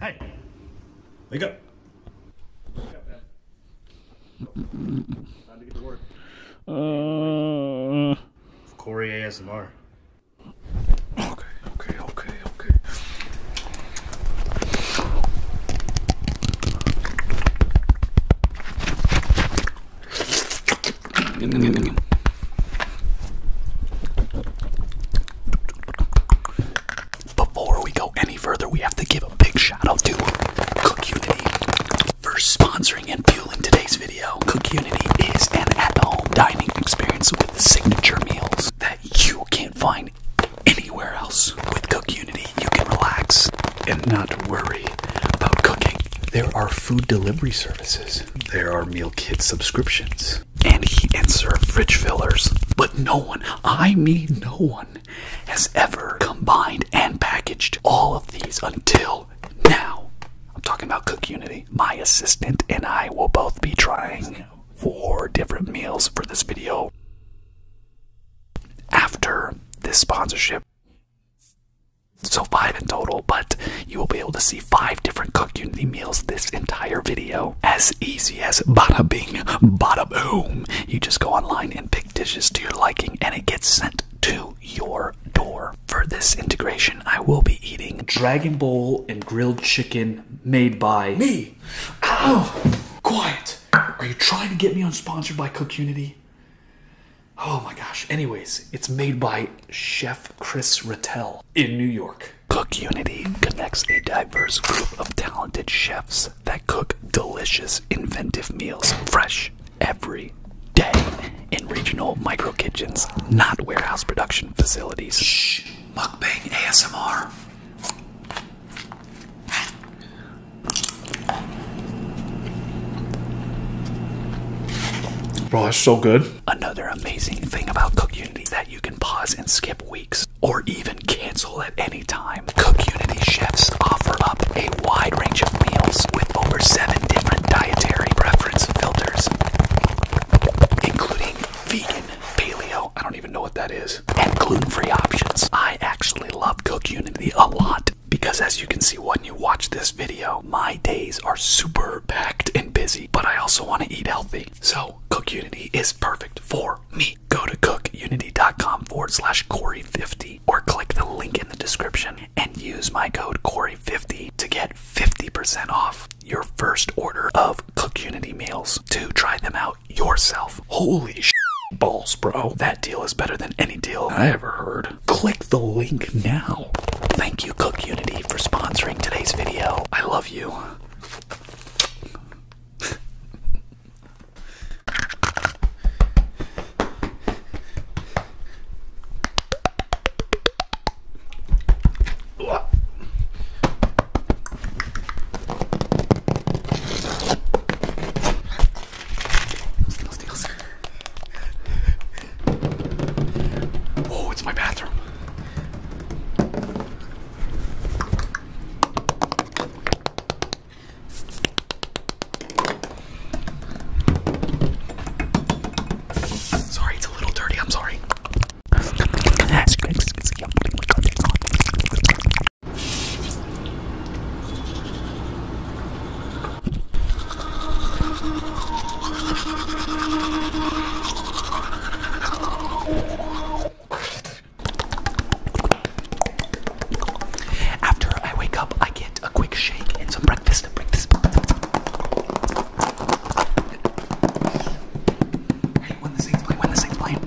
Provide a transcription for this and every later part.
Hey, wake up. Wake up, man. Time to get to work. Uh, Corey ASMR. Okay, okay, okay, okay. Before we go any further, we have to give a big shout out to Cookunity for sponsoring and fueling today's video. Cookunity is an at-home dining experience with signature meals that you can't find anywhere else. With Cookunity, you can relax and not worry about cooking. There are food delivery services. There are meal kit subscriptions. And he and served fridge fillers. But no one, I mean no one, has ever combined and packaged all of these until now. I'm talking about Cook Unity. My assistant and I will both be trying four different meals for this video after this sponsorship. So five in total, but you will be able to see five different Cook Unity meals this entire video. As easy as bada bing, bada boom. You just go online and pick dishes to your liking and it gets sent to your door. For this integration, I will be eating Dragon Bowl and grilled chicken made by me. Ow! Quiet! Are you trying to get me unsponsored by Cook Unity? Oh my gosh. Anyways, it's made by Chef Chris Rattel in New York. Cook Unity connects a diverse group of talented chefs that cook delicious, inventive meals fresh every day in regional micro kitchens, not warehouse production facilities. Shh, mukbang ASMR. Bro, that's so good. Another amazing thing about Cookunity is that you can pause and skip weeks or even cancel at any time. Cookunity chefs offer up a wide range of meals with over seven different dietary preference filters, including vegan, paleo, I don't even know what that is, and gluten free options. I actually love Cookunity a lot because, as you can see, when you watch this video, my days are super packed and busy, but I also want to eat healthy. So Cookunity is perfect for me. Go to cookunity.com forward slash Corey50 or click the link in the description and use my code Corey50 to get 50% off your first order of Cookunity meals to try them out yourself. Holy sh balls, bro. That deal is better than any deal I ever heard. Click the link now. Thank you, Cookunity, for sponsoring today's video. I love love you. Oh, it's my bathroom. Sorry, it's a little dirty. I'm sorry. After I wake up, I get a quick shake and some breakfast. breakfast. Hey, when the thing's playing, when the thing's playing.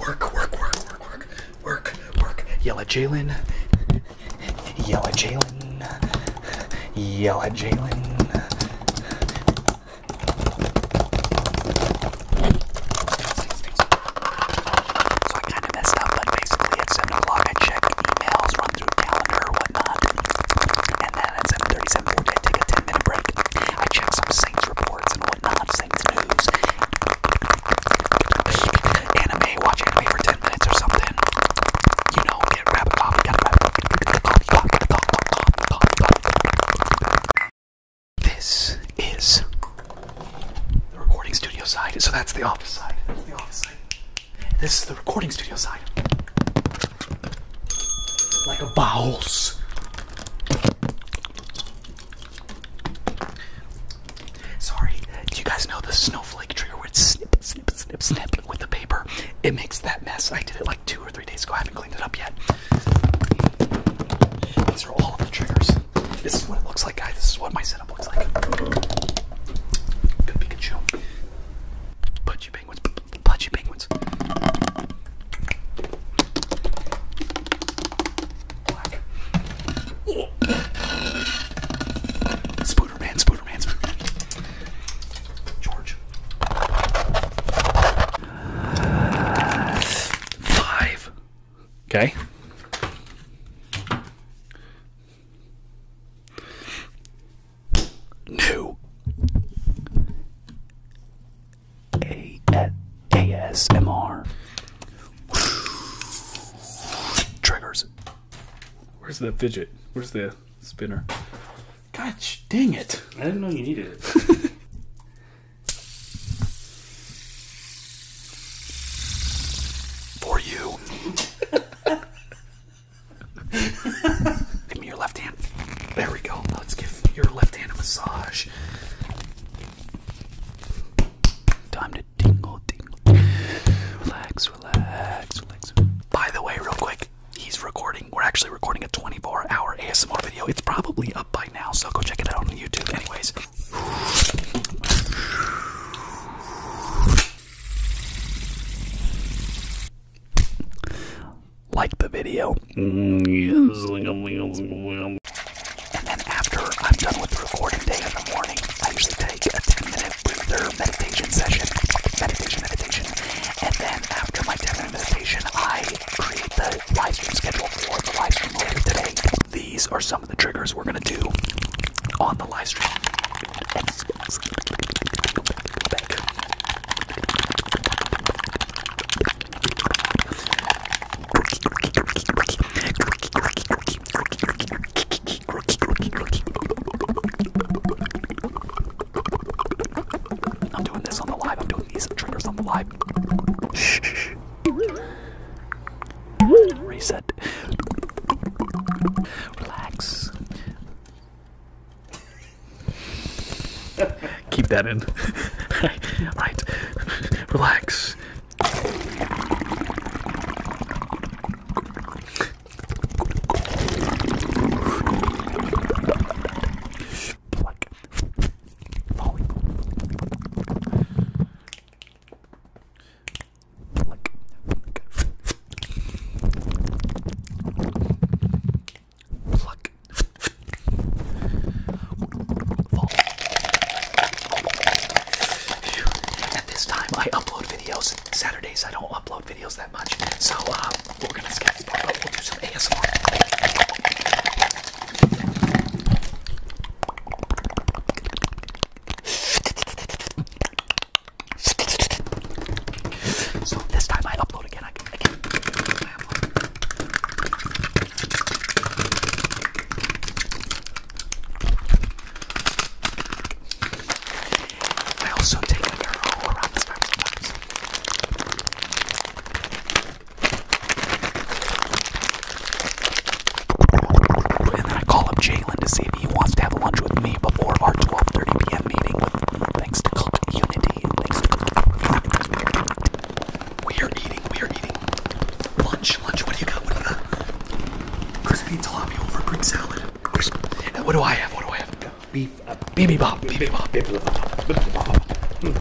Work, work, work, work, work, work, work. Yell at Jalen. Yell at Jalen. Yell at Jalen. So I kind of messed up, but basically at 7 o'clock I check emails, run through calendar, whatnot, and then at 7.30 take a 10 minute break. I check some Saints reports and whatnot, Saints news, anime, watch anime for 10 minutes or something. You know, get a rabbit off, get a rabbit off, get a coffee, coffee, get a coffee, This is the recording studio side, so that's the office side. That's the office side. This is the recording studio side. Like a bowels. Sorry, do you guys know the snowflake trigger where it snip, snip, snip, snip with the paper? It makes that mess. I did it like two or three days ago. I haven't cleaned it up yet. These are all the triggers. This is what it looks like, guys. This is what my setup looks like. Good Pikachu. Put penguins. Pudgy penguins. Spooderman, Spooderman, Spooderman. George. five. Okay. New. A triggers. Where's the fidget? Where's the spinner? Gosh dang it! I didn't know you needed it. For you. give me your left hand. There we go. Let's give your left hand a massage. Time to tingle, tingle. Relax, relax, relax. By the way, real quick, he's recording. We're actually recording a 24 hour ASMR video. It's probably up by now, so go check it out on YouTube, anyways like the video. And then after I'm done with recording day in morning, I usually take a 10 minute breather meditation session. Meditation, meditation. And then after my 10 minute meditation, I create the live schedule for the live later today. These are some of the triggers we're going to do on the live I'm doing this on the live. I'm doing these triggers on the live. Shh. shh. Reset. Relax. Keep that in. right. Relax. Pluck. At this time, I upload videos. Saturdays, I don't upload videos that much. So, uh, we're going to skip but We'll do some ASMR. So, this time I upload again. I also take a mirror around this time sometimes. And then I call up Jalen to see if he wants to have lunch with me before our 12:30 p.m. meeting. thanks to Unity we are eating, we are eating lunch, lunch. What do you got? What do you got? Crispy tilapia over Greek salad. Crisp. And what do I have? What do I have? Beef, uh, bibimbap, bibimbap, bibimbap.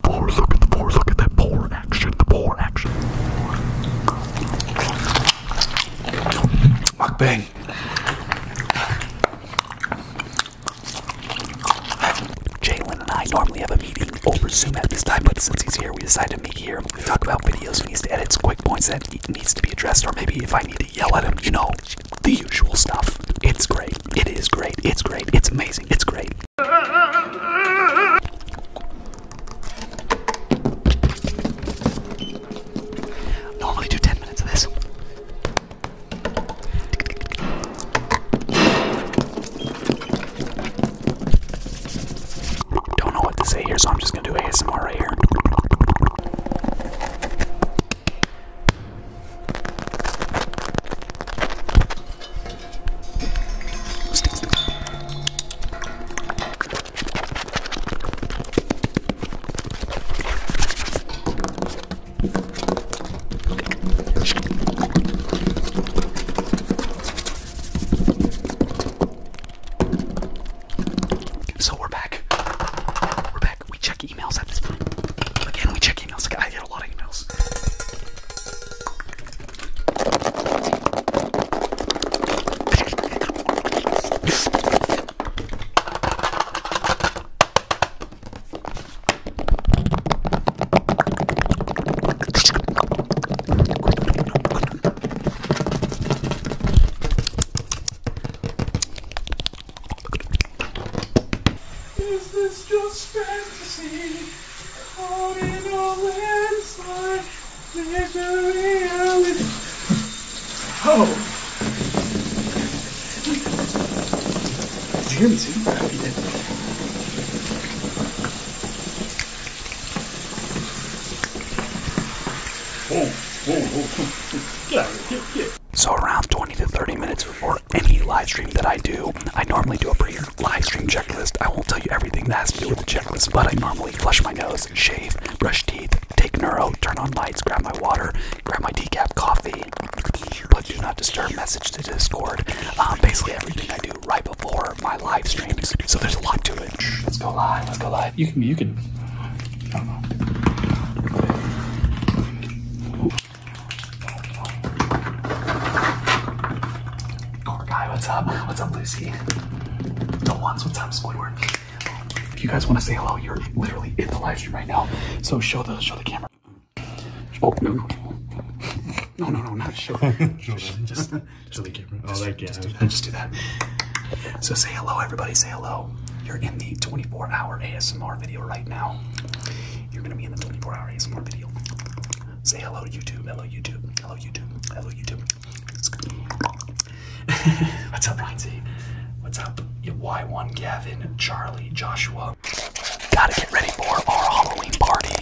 Poor, look at the poor, look at that poor action, the poor action. Mukbang. Jalen and I normally have a meeting over Zoom at this time, but since he's here, we decide to meet here. We talk about videos he needs to edit, quick points that needs to be addressed, or maybe if I need to yell at him, you know, the usual stuff. It's great. It is great. It's great. It's amazing. It's great. Normally do 10 minutes of this. Don't know what to say here, so I'm just gonna do ASMR right here. So we're back. We're back. We check emails at this point. Again, we check emails. I get a lot of emails. Is this just fantasy? Caught in a landslide, there's a reality. Oh! Did you hear me see? So around 20 to 30 minutes before any live stream that I do, I normally do a pre-live stream checklist. I won't tell you everything that has to do with the checklist, but I normally flush my nose, shave, brush teeth, take neuro, turn on lights, grab my water, grab my decaf coffee, but do not disturb message to Discord. Um, basically everything I do right before my live stream. so there's a lot to it. Let's go live. Let's go live. You can. You can. I Core guy, what's up? What's up, Lucy? No ones. What's up, Squidward? If you guys want to say hello, you're literally in the live stream right now. So show the show the camera. Oh, no, no. No, no, not sure. show just, just, just the Just, oh, that just, do that. just do that. So say hello, everybody. Say hello. You're in the 24-hour ASMR video right now. You're going to be in the 24-hour ASMR video. Say hello YouTube. Hello, YouTube. Hello, YouTube. Hello, YouTube. What's up, Lindsay? What's up? Y1, Gavin, Charlie, Joshua, gotta get ready for our Halloween party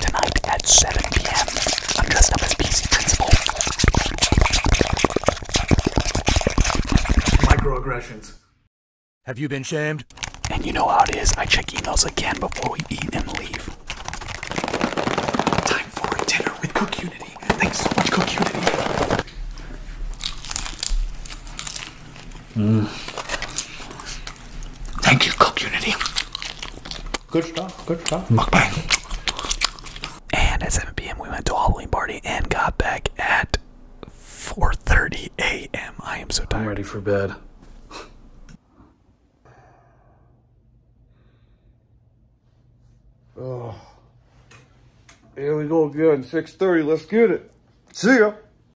tonight at 7 p.m. I'm dressed up as PC Principal. Microaggressions. Have you been shamed? And you know how it is. I check emails again before we eat and leave. Time for dinner with Cook Unity. Thanks so much, Cook Unity. Mm. Thank you, Cook Unity. Good stuff, good stuff. Mukbang. And at 7 p.m. we went to Halloween party and got back at 4.30 a.m. I am so tired. I'm ready for bed. oh. Here we go again, 6.30, let's get it. See ya.